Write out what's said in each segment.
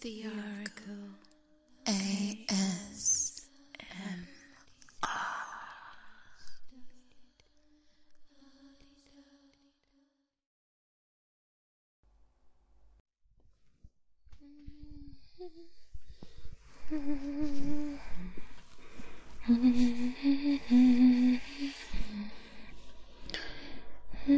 The Oracle ASMR. Hey,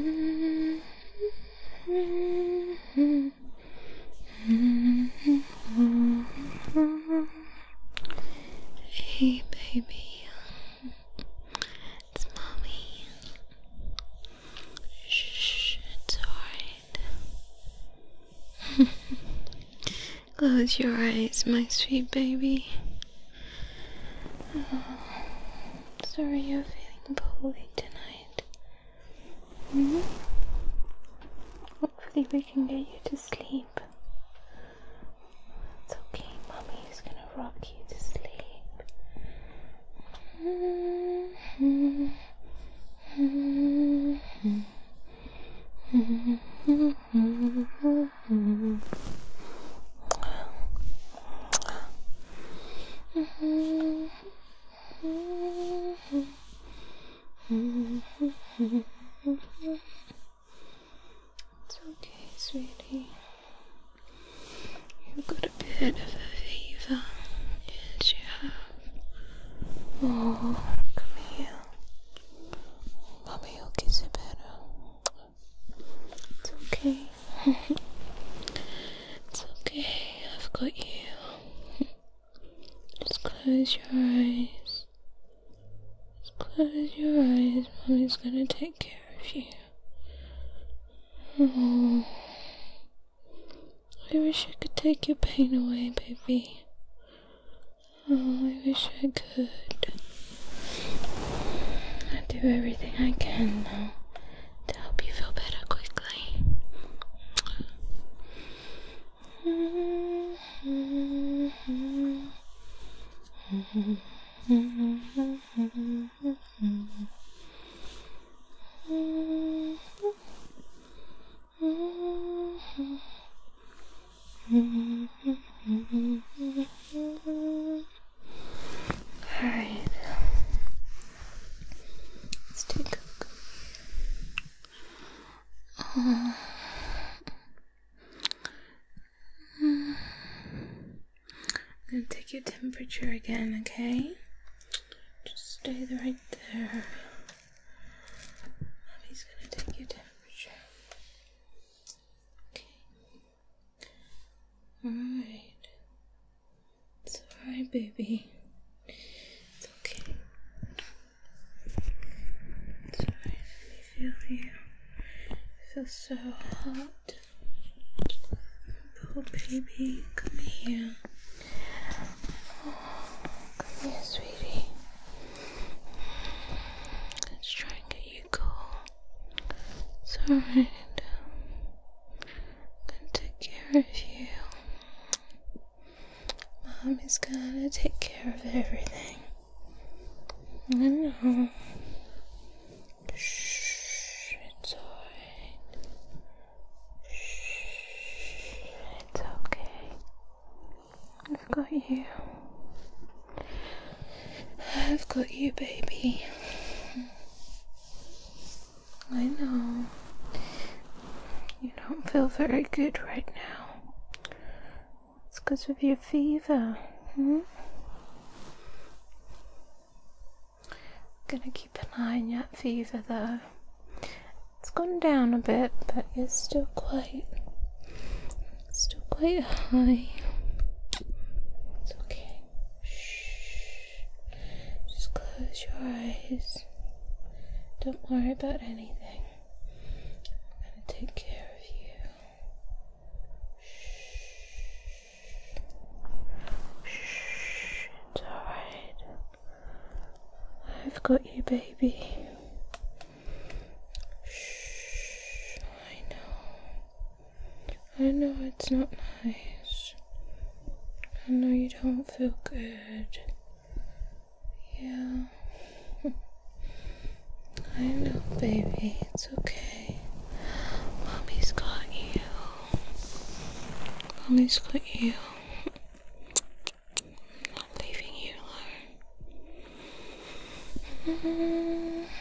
baby, it's mommy. Shh, it's alright. Close your eyes, my sweet baby. Oh, sorry you're feeling poorly tonight. Mm-hmm. Hopefully we can get you to sleep. It's okay, mommy is gonna rock you to sleep. Mm-hmm. It's okay, sweetie. You've got a bit of a fever. Yes, you have. Oh, come here. Mommy will kiss you better. It's okay. it's okay. I've got you. Just close your eyes. Just close your eyes. Mommy's gonna take care of you. Oh. I wish I could take your pain away, baby. Oh, I wish I could. I do everything I can now to help you feel better quickly. All right. Let's take Oh. I'm gonna take your temperature again, okay? Just stay right there. Mommy's gonna take your temperature. Okay. Alright. It's alright, baby. It's okay. It's alright. Let me feel you. I feel so hot. Oh, baby, come here. Oh, come here, sweetie. Let's try and get you cool. It's alright. Gonna take care of you. Mommy's gonna take care of everything. I know. Shh, it's alright. Shh, it's okay. I've got you. I've got you, baby. I know. You don't feel very good right now. It's because of your fever. Hmm? Gonna keep an eye on that fever though. It's gone down a bit, but it's still quite, still quite high. It's okay. Shh. Just close your eyes. Don't worry about anything. I'm going to take care of you. Shh. Shh. It's alright. I've got you, baby. Shh. I know. I know it's not nice. I know you don't feel good. Yeah. I know, baby. It's okay. Mommy's got you. Mommy's got you. i not leaving you alone. Mm-hmm.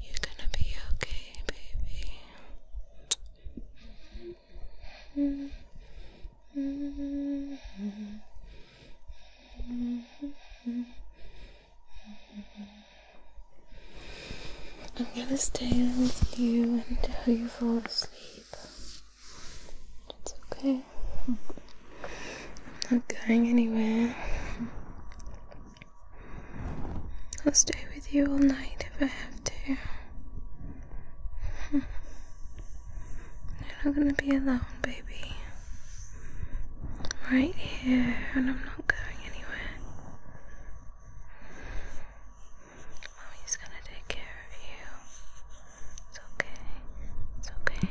You're gonna be okay, baby. I'm gonna stay with you until you fall asleep. It's okay. I'm not going anywhere. I'll stay with you all night if I have to. You're not gonna be alone, baby. right here, and I'm not going anywhere. Mommy's gonna take care of you. It's okay. It's okay.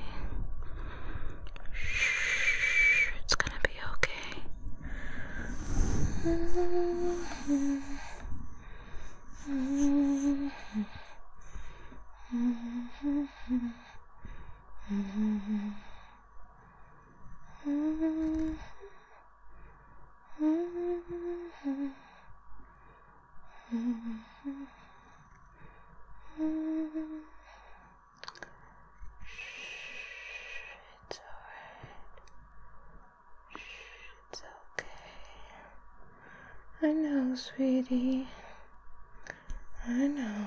it's gonna be okay. It's alright. It's okay. I know, sweetie. I know.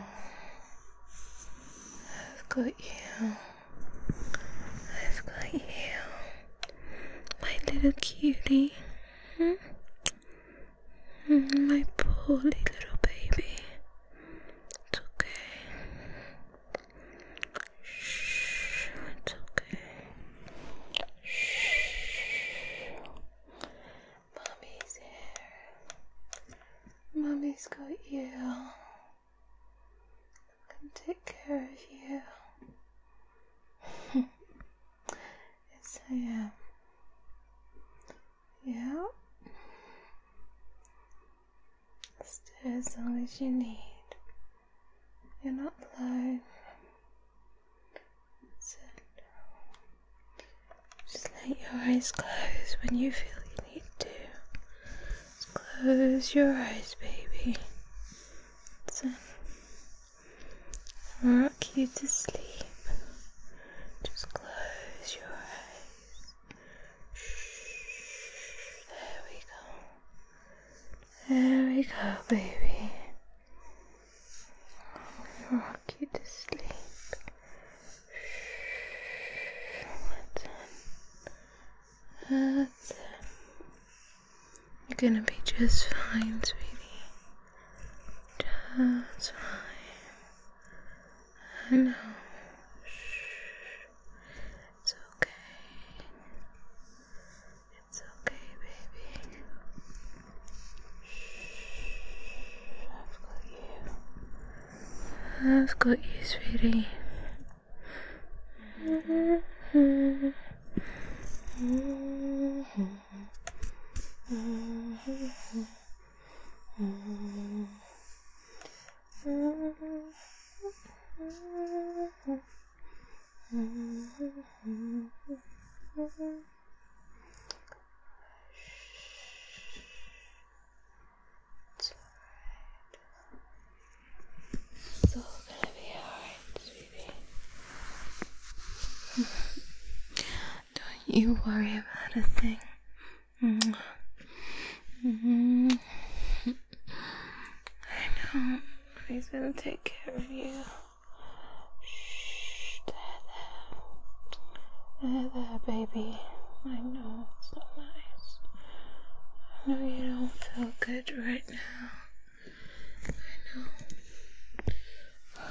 I've got you. I've got you. My little cutie. Hmm? My poor little baby. It's okay. Shh, it's okay. Shh. Mommy's here. Mommy's got you. I can take care of you. It's a yeah. Yeah. Stay as long as you need. You're not alone. So just let your eyes close when you feel you need to. close your eyes, baby. So rock you to sleep. Just close your eyes. There we go. There we go, baby. Rock you to sleep. That's it. You're gonna be just fine, sweetie. That's fine. I know. It's okay. It's okay, baby. Shh. I've got you. I've got you, sweetie. Mm-hmm. Mm-hmm. Mm-hmm. It's alright. all gonna be alright, sweetie. Don't you worry about a thing. Mm-hmm. I know. He's gonna take care of you. Shh, there, there. There, there, baby. I know it's not nice. I know you don't feel good right now. I know.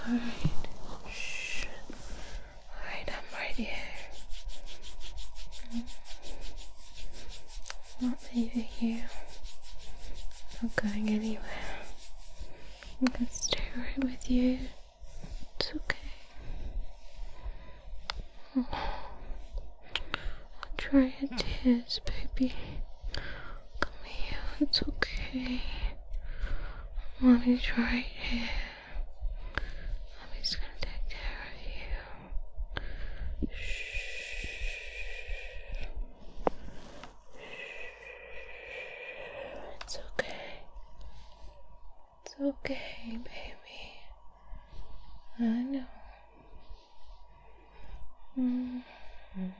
All right. Shh. All right, I'm right here. I'm not leaving you. I'm not going anywhere. I'm gonna stay right with you. It's okay. I'll dry your tears, baby. Come here, it's okay. Mommy's right here. Mommy's gonna take care of you. It's okay. It's okay, baby. I know. Mm-hmm.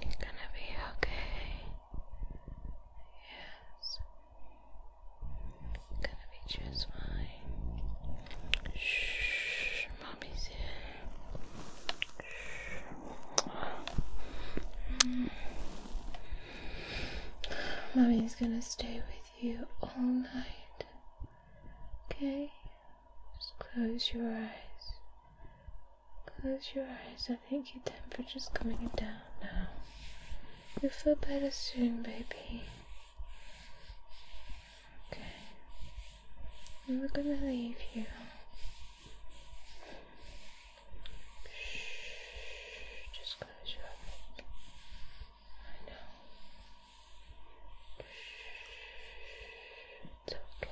You're gonna be okay. Yes. gonna be just fine. Shh, mommy's here. Shh. Mm. Mommy's gonna stay with you all night. Okay? Just close your eyes. Close your eyes. I think your temperature's coming down now. You'll feel better soon, baby. Okay. we're gonna leave you. just close your eyes. I know. it's okay.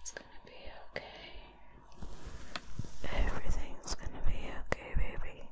It's gonna be okay. Everything's gonna be okay, baby.